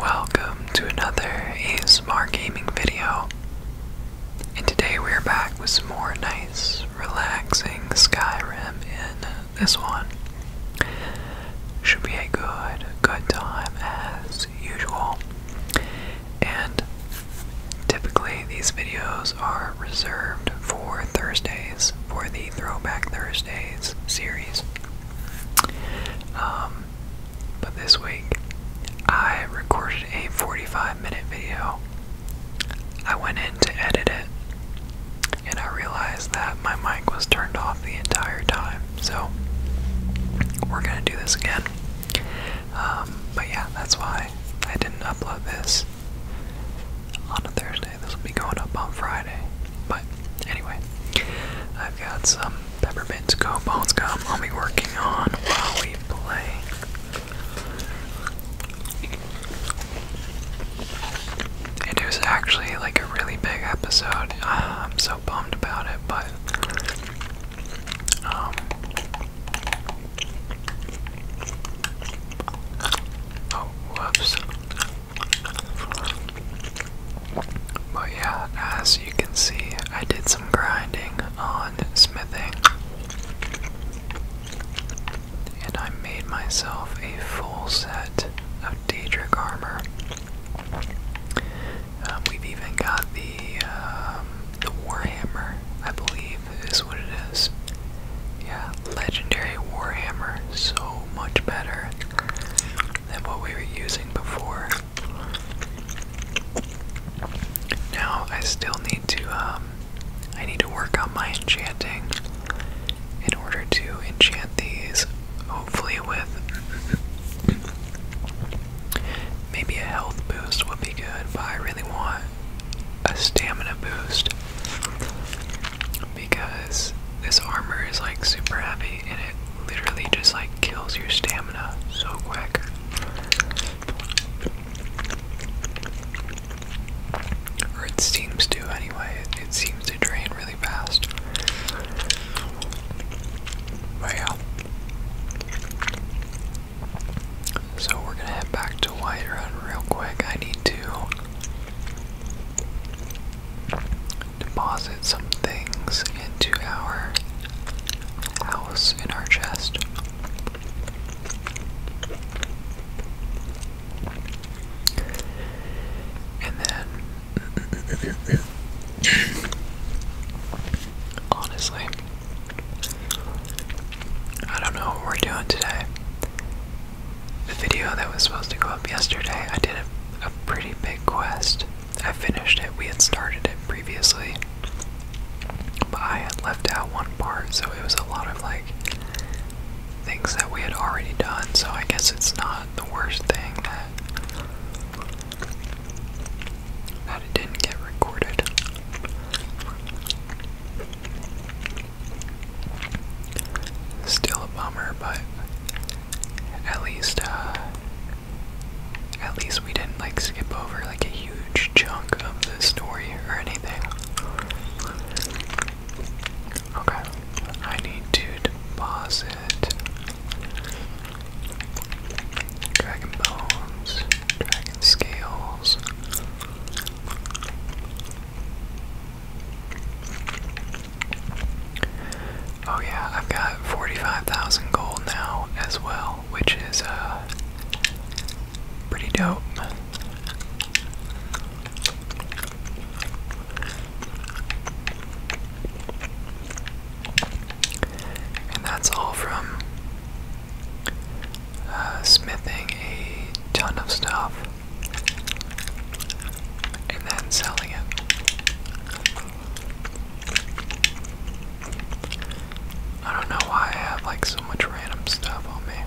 welcome to another ASMR gaming video. And today we are back with some more nice, relaxing Skyrim in this one. Should be a good, good time as usual. And typically these videos are reserved for Thursdays, for the Throwback Thursdays series. Um, but this week, I recorded a 45 minute video. I went in to edit it, and I realized that my mic was turned off the entire time. So, we're gonna do this again. Um, but yeah, that's why I didn't upload this on a Thursday. This will be going up on Friday. But anyway, I've got some peppermint cobalts gum I'll be working on while we play. It was actually like a really big episode. Uh, I'm so bummed about it, but um oh whoops. But yeah, as you can see, I did some grinding on smithing. And I made myself a full set of Daedric armor. Um, we've even got the um, the Warhammer, I believe, is what it is. Yeah, legendary Warhammer, so much better than what we were using before. Now I still need to um, I need to work on my enchanting in order to enchant these hopefully with maybe a health boost would be good, but I really want a stamina boost because this armor is like super heavy and it literally just like kills your stamina so quick. Or it seems to anyway, it, seems to drain really fast. But So we're gonna head back to Whiterun real quick. I need to deposit some things into our house in our chest. And then, honestly, I don't know what we're doing today. The video that was supposed to go up yesterday, I did a, a pretty big quest. I finished it. We had started it previously, but I had left out one part, so it was a lot of like things that we had already done. So I guess it's not the worst thing that that it didn't get recorded. Still a bummer, but at least uh, at least we didn't like skip over like a huge chunk of the story or anything. Okay. I need to deposit Dragon Bones, Dragon Scales. Oh yeah, I've got 45,000 gold now as well, which is uh pretty dope. And that's all from uh, smithing a ton of stuff and then selling it. I don't know why I have like so much random stuff on me.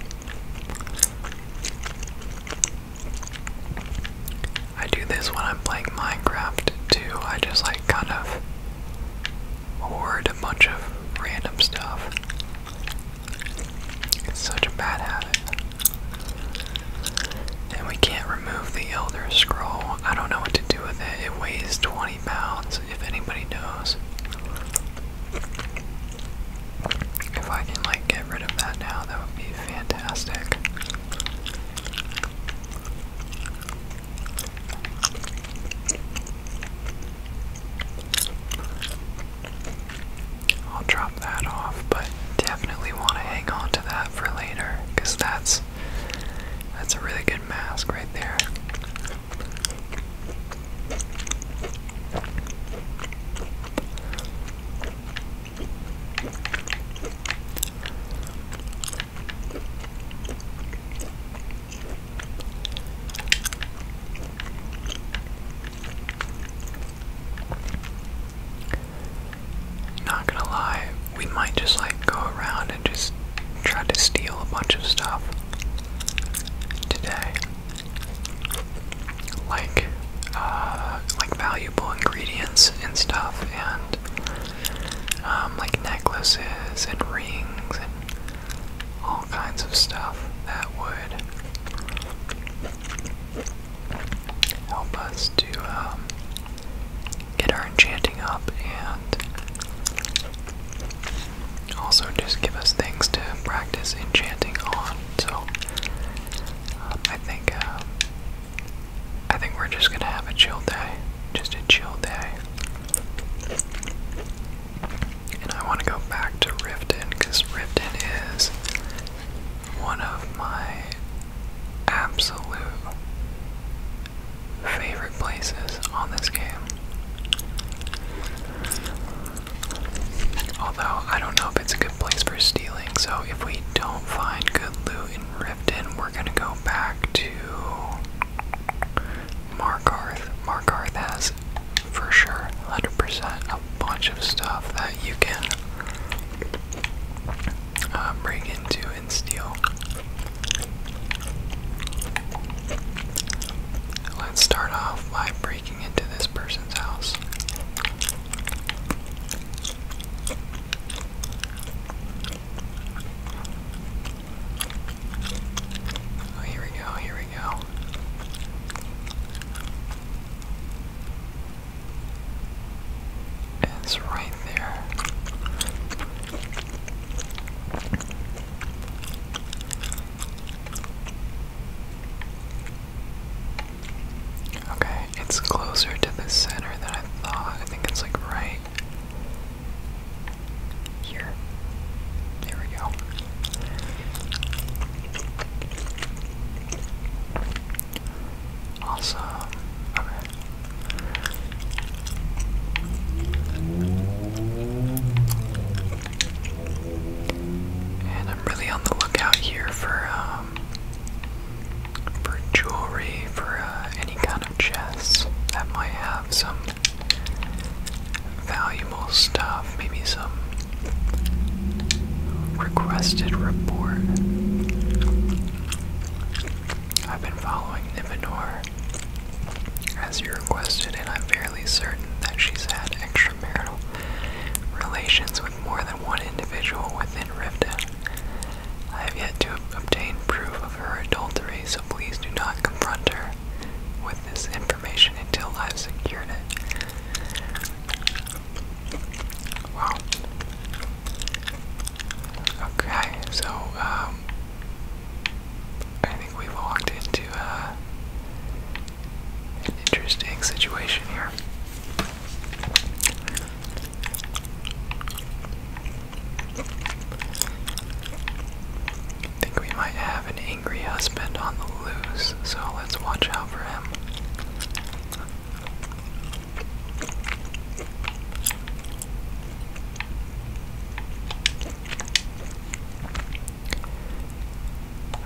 I do this when I'm playing Minecraft too. I just like kind of hoard a bunch of random stuff. It's such a bad habit. And we can't remove the Elder Scroll. I don't know what to do with it. It weighs 20 pounds, if anybody knows. If I can, like, get rid of that now, that would be fantastic. I'll drop that off, but definitely want to hang on to that for later because that's that's a really good mask right there. Not gonna lie, we might just like go around and just try to steal a bunch of stuff today. Like, uh, like valuable ingredients and stuff, and um, like necklaces and rings and all kinds of stuff that would help us to um, get our enchanting up and also just give us things to practice enchanting on. So um, I think uh, I think we're just gonna have a chill day, just a chill day. And I want to go back to Riften because Riften is one of my absolute favorite places on this game. Although, I don't know if it's a good place for stealing, so if we don't find good loot in Riften, we're gonna go back to Markarth. Markarth has, for sure, 100% a bunch of stuff that you can uh, into value in Let's start off by breaking into this person's house. Oh, here we go, here we go is right there. Okay, it's closer to the center than I thought. I think it's like right here. There we go. Awesome. And I'm really on the lookout here for um, for jewelry, for uh, any kind of chests that might have some valuable stuff, maybe some requested report. I've been following Nivenor as you requested, and I'm fairly certain that she's had extramarital relations with more than one individual within Rivden. I have yet to obtain proof of her adultery, so please do not confront her with this information until I've secured it. Wow. Okay, so um, I think we've walked into uh, an interesting situation here. I think we might have an angry husband on the loose, so let's watch out for him.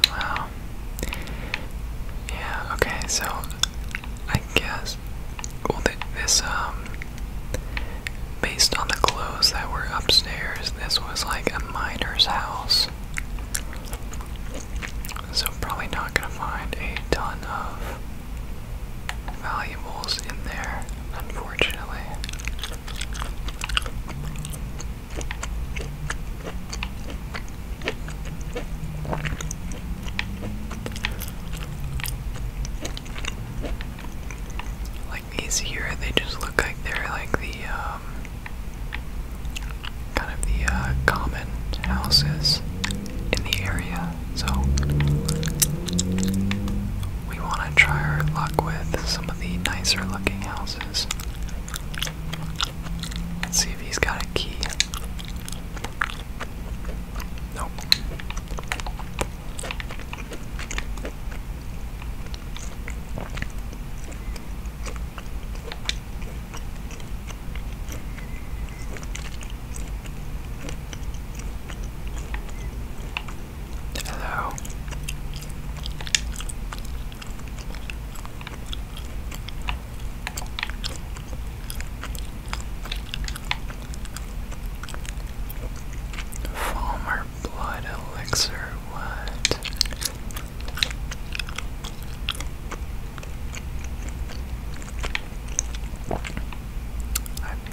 Wow. Yeah, okay, so I guess well this um based on the clothes that were upstairs, this was like a miner's house. So probably not gonna find a ton of valuables in there, unfortunately. Like these here, they just look like they're like the um, kind of the uh, common houses in the area so we want to try our luck with some of the nicer looking houses. Let's see if he's got a key. Nope. Hello. Former blood elixir, what?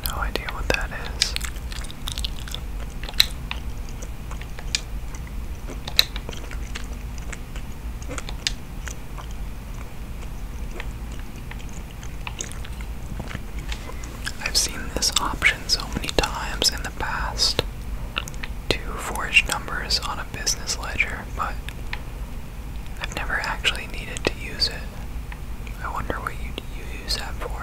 no idea what that is. I've seen this option so many times in the past to forge numbers on a business ledger, but I've never actually needed to use it. I wonder what you you use that for.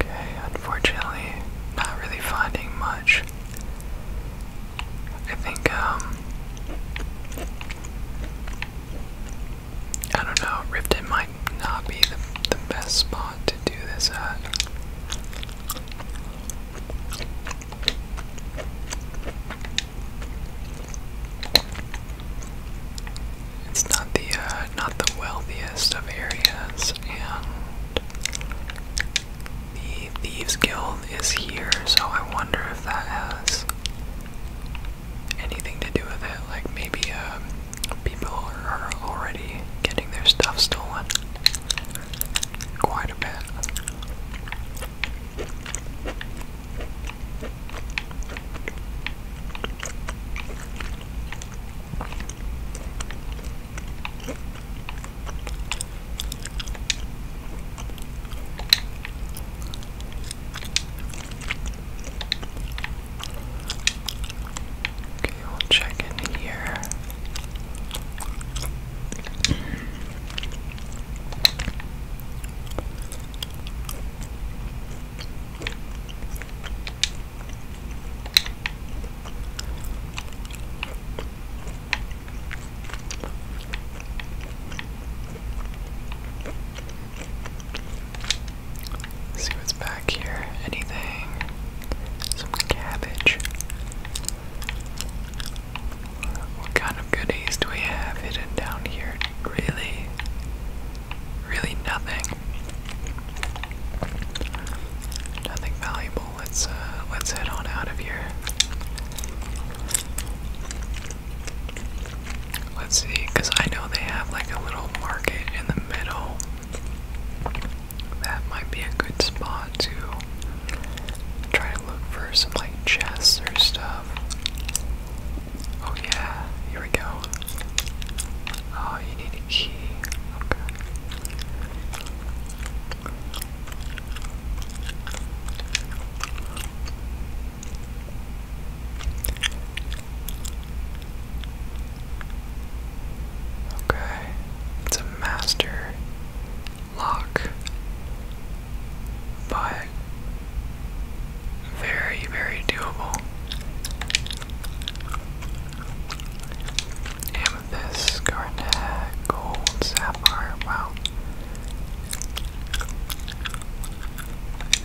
Okay, unfortunately, not really finding much. I think, um, I don't know, Riften might not be the, best spot to do this at. It's not the uh, not the wealthiest of areas, and the Thieves Guild is here, so I wonder if that has anything to do with it. Like maybe um, people are already getting their stuff stolen quite a bit. Okay, we check in here. Let's see what's back here. Anything? Some cabbage. What kind of goodies do we have hidden down here? Really? Really nothing. Nothing valuable. Let's uh let's head on out of here. Let's see, because I know they have like a little market in the middle. That might be a good spot to try to look for some like chests or stuff. Oh, yeah, here we go. Oh, you need a key. Okay. Okay, it's a master lock, but very, very doable. Amethyst, garnet, gold, sapphire, wow.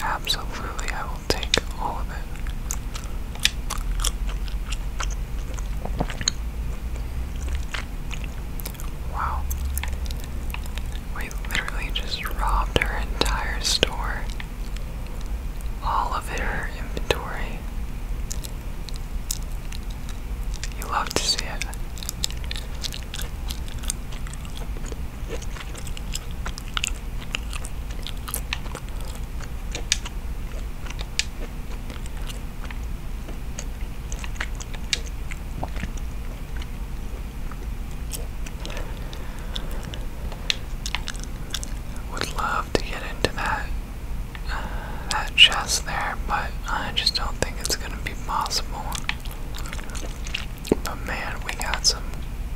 Absolutely, I will take all of it. Wow. We literally just robbed her entire store. All of her inventory. You love to see it. Would love to get into that uh, that chest there, but I just don't think it's gonna be possible. But man, we got some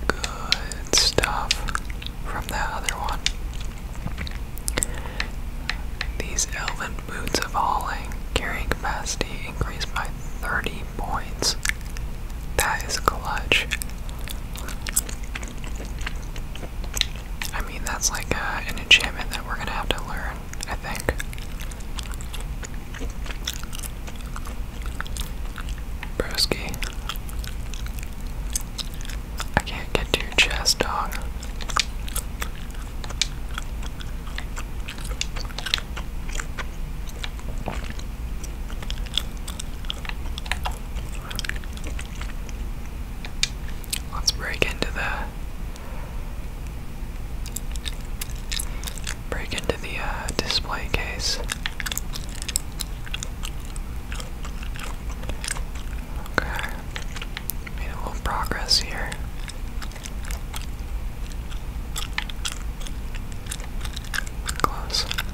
good stuff from that other one. These elven boots of hauling carrying capacity increased by 30 points. That is clutch. I mean, that's like uh, an enchantment that we're gonna have to learn, I think. Broski. I can't get to your chest, dog. Let's break into the break into the uh, display case. Okay, made a little progress here. Close. Hmm.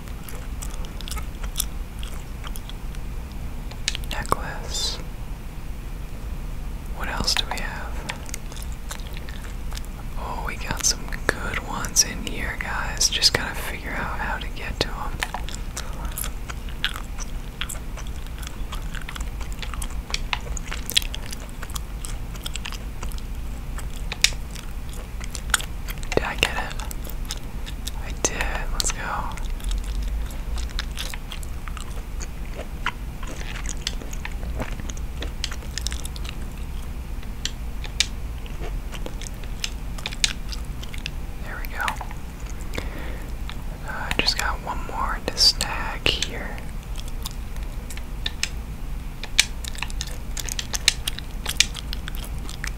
necklace. What else do we have? Oh, we got some good ones in here, guys. Just gotta figure out how to get to them. Did I get it? I did. Let's go. There we go. Uh, I just got one more to snag here.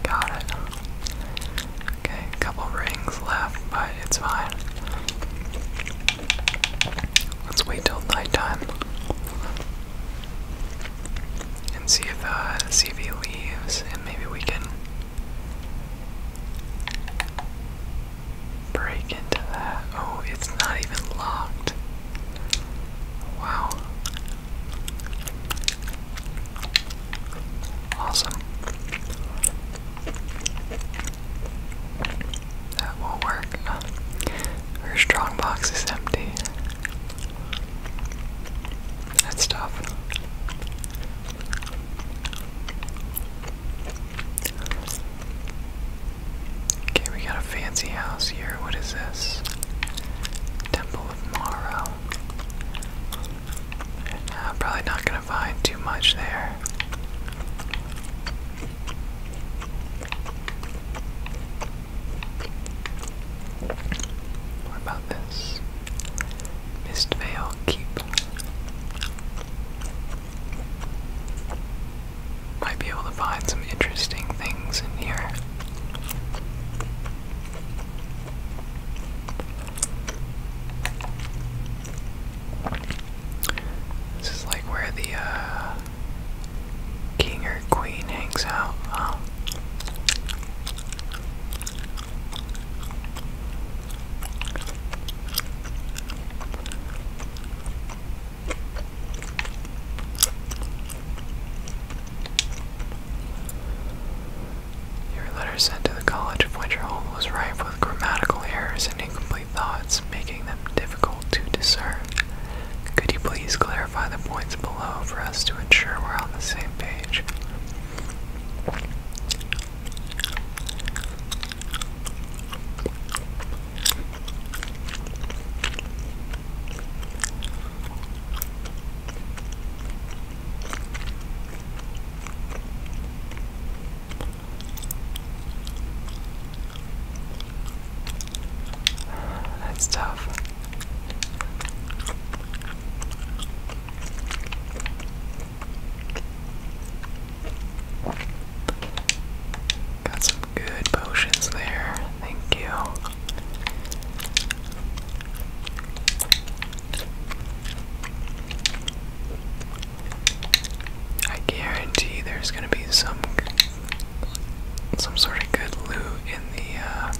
Got it. Okay, couple rings left, but it's fine. Let's wait till nighttime and see if uh, CV leaves, and maybe we can break into that. Oh, it's not even locked. Wow. Awesome. That will work. Her strong is empty. That's tough. Okay, we got a fancy house here. What is this? Temple I'm probably not going to find too much there. What about this? Mistvale Keep. Might be able to find some interesting things in here. This is like where the uh, king or queen hangs out. Oh. Your letter sent to the college of which your home was rife with grammatical errors and incomplete thoughts, making them difficult to discern. Could you please clarify the points below for us to ensure we're on the same page? That's tough. Got some good potions there. Thank you. I guarantee there's gonna be some some sort of good loot in the uh,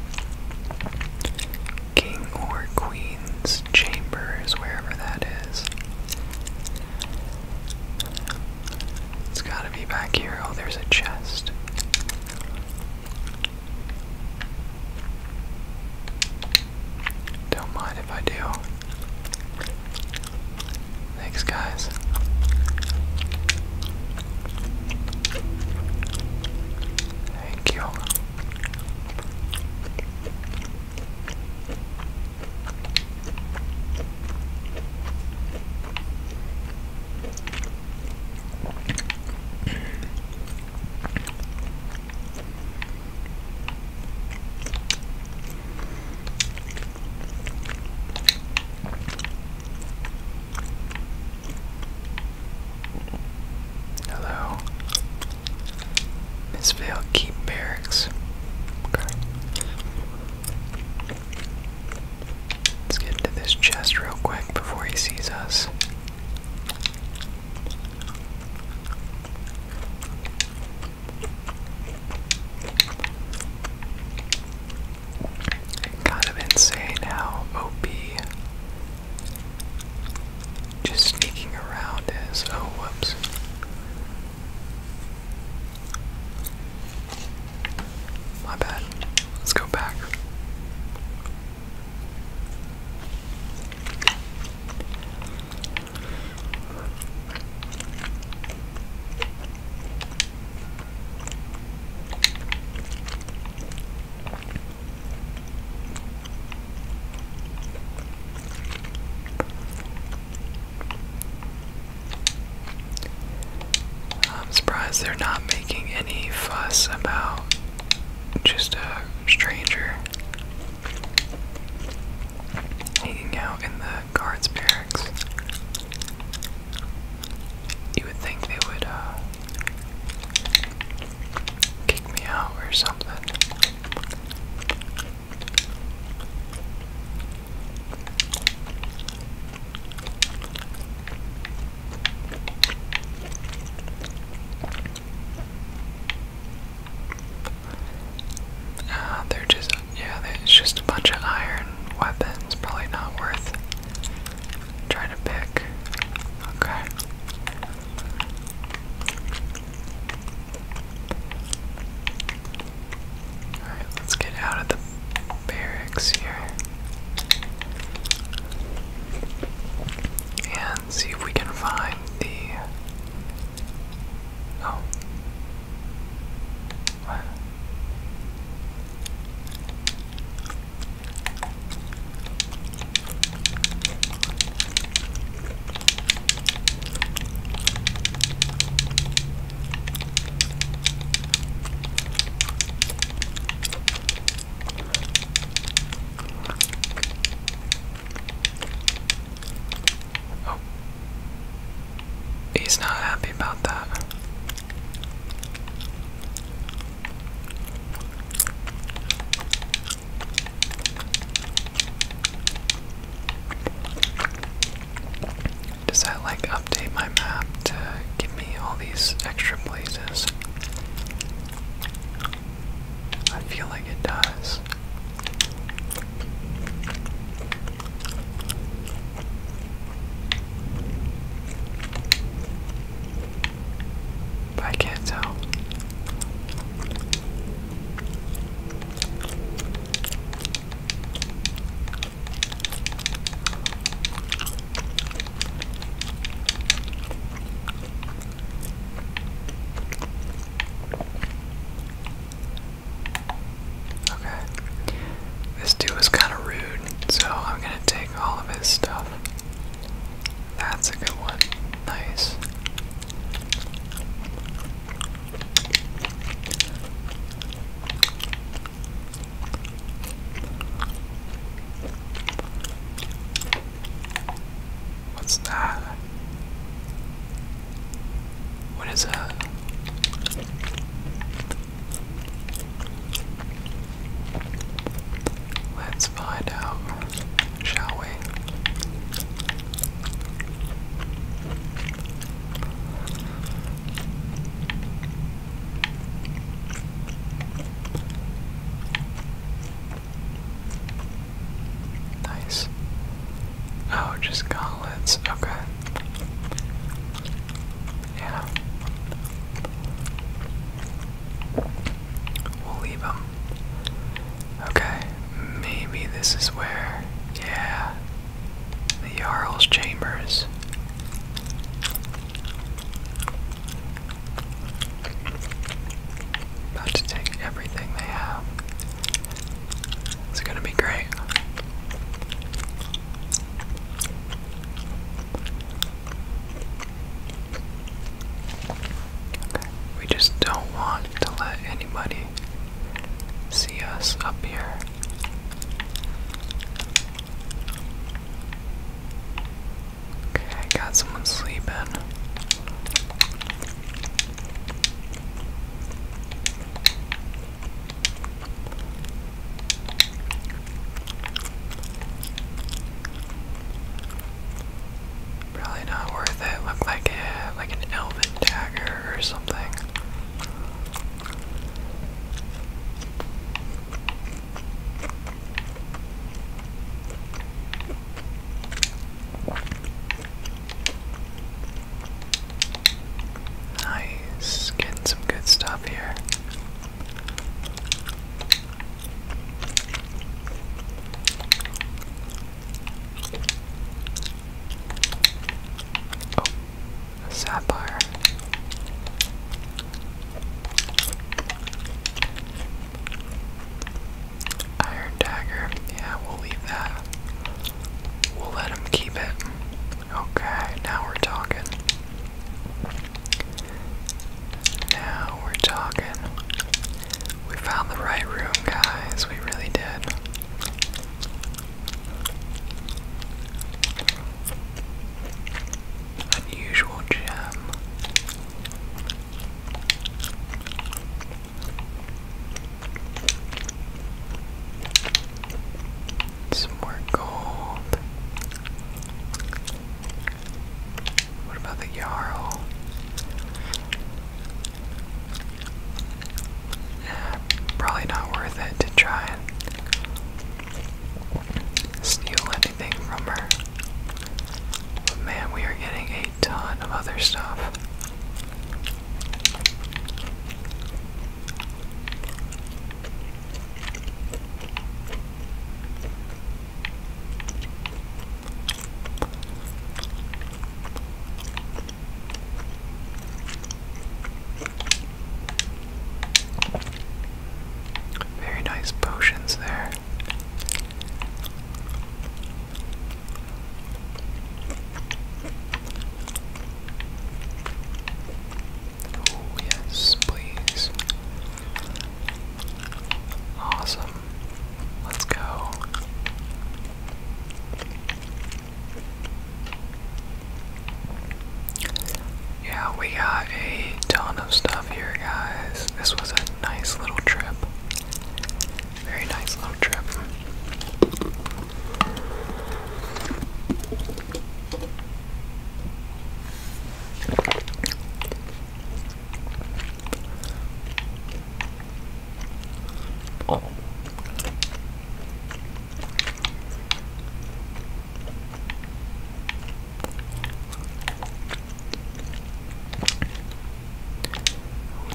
king or queen's chambers, wherever that is. It's gotta be back here. Oh, there's a chest. Don't mind if I do. Thanks, guys. Thank you. Hello. Miss Vale Keep Barracks. Okay. Let's get into this chest real quick before he sees us. Kind of insane how OP just sneaking around is. Oh, whoops. My bad. Let's go back. I'm surprised they're not making any fuss about just a stranger hanging out in the guards barracks. You would think they would uh, kick me out or something. Uh, they're just, yeah, it's just a bunch of iron weapons. Probably not worth trying to pick. Okay. Alright, let's get out of the barracks here and see if we can find the. Oh. What? Oh. He's not happy about that. Does that like update my map to give me all these extra places? I feel like it does. But I can't tell. Okay. This dude was kind of rude, so I'm gonna take all of his stuff. That's a good one. Nice. What's that? What is that? Let's find out, shall we? Nice. Oh, just gauntlets. Okay. Yeah. We'll leave them. Okay, maybe this is where. Yeah. The Jarl's Chambers. About to take everything they have. It's gonna be great. We just don't want to let anybody see us up here. Okay, I got someone sleeping. Probably not worth it. Looked like a, like an elven dagger or something. Nice, getting some good stuff here. Oh, a Iron dagger. Yeah, we'll leave that. We'll let him keep it. Okay, now we're talking. Now we're talking. We found the right room, guys. We really did. Unusual gem. Some more gold. What about the Jarl? probably not worth it to try and steal an man, we are getting a ton of other stuff. Very nice potions there. Oh, yes, please. Awesome. Let's go. Yeah, we got a ton of stuff here guys. This was a nice little trip. Very nice little trip. Oh.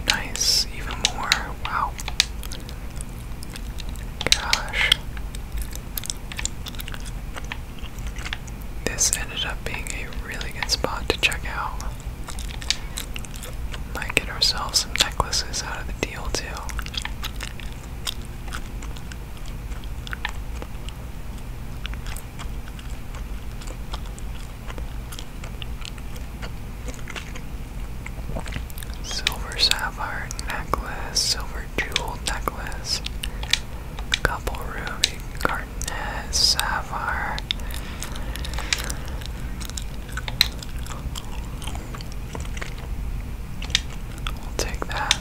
Nice, even more. Wow. Gosh. This ended up being a really good spot to check out. Might get ourselves necklaces out of the deal, too. Silver sapphire necklace, silver jewel necklace, couple ruby, garnet, sapphire. We'll take that.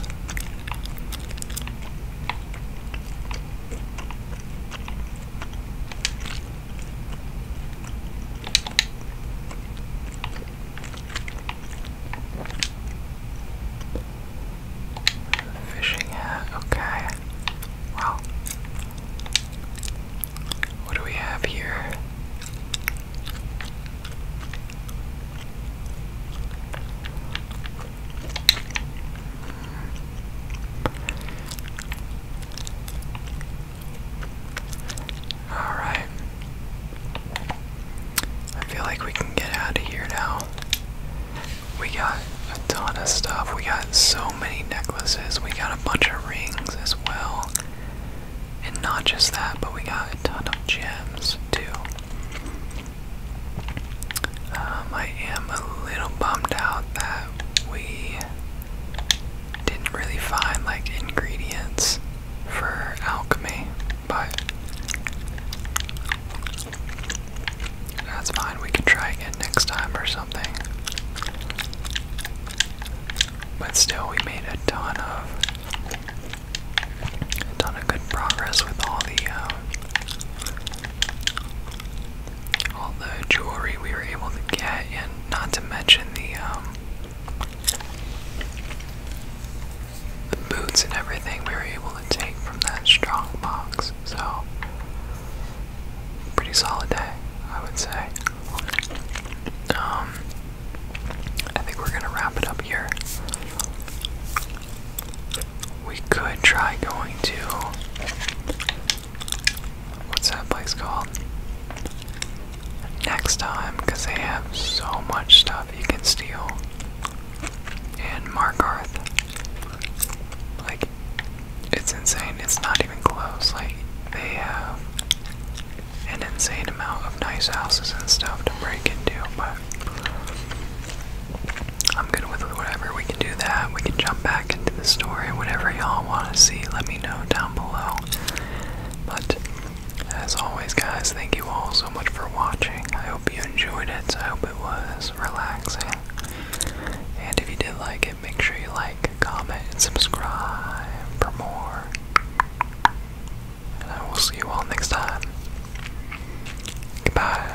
Fishing hat, okay. Wow. What do we have here? Alright. I feel like we can get out of here now. We got a ton of stuff. We got so many necklaces. We got a bunch of rings as well. And not just that, but we got a ton of gems too. Um, I am a little bummed out that we didn't really find like ingredients for alchemy, but that's fine. We can try again next time or something. But still, we made a ton of a good progress with all the um, all the jewelry we were able to get, and not to mention um, the boots and everything we were able to take from that strong box. So pretty solid day, I would say. Um, I think we're gonna wrap it up here. We could try going to what's that place called? Next time, because they have so much stuff you can steal. And Markarth. Like, it's insane. It's not even close. Like, they have an insane amount of nice houses and stuff to break into, but I'm good with whatever. We can do that. We can jump back into the story. Whatever y'all want to see, let me know down below. But as always, guys, thank you all so much for watching. I hope you enjoyed it. I hope it was relaxing. And if you did like it, make sure you like, comment, and subscribe for more. And I will see you all next time. Goodbye.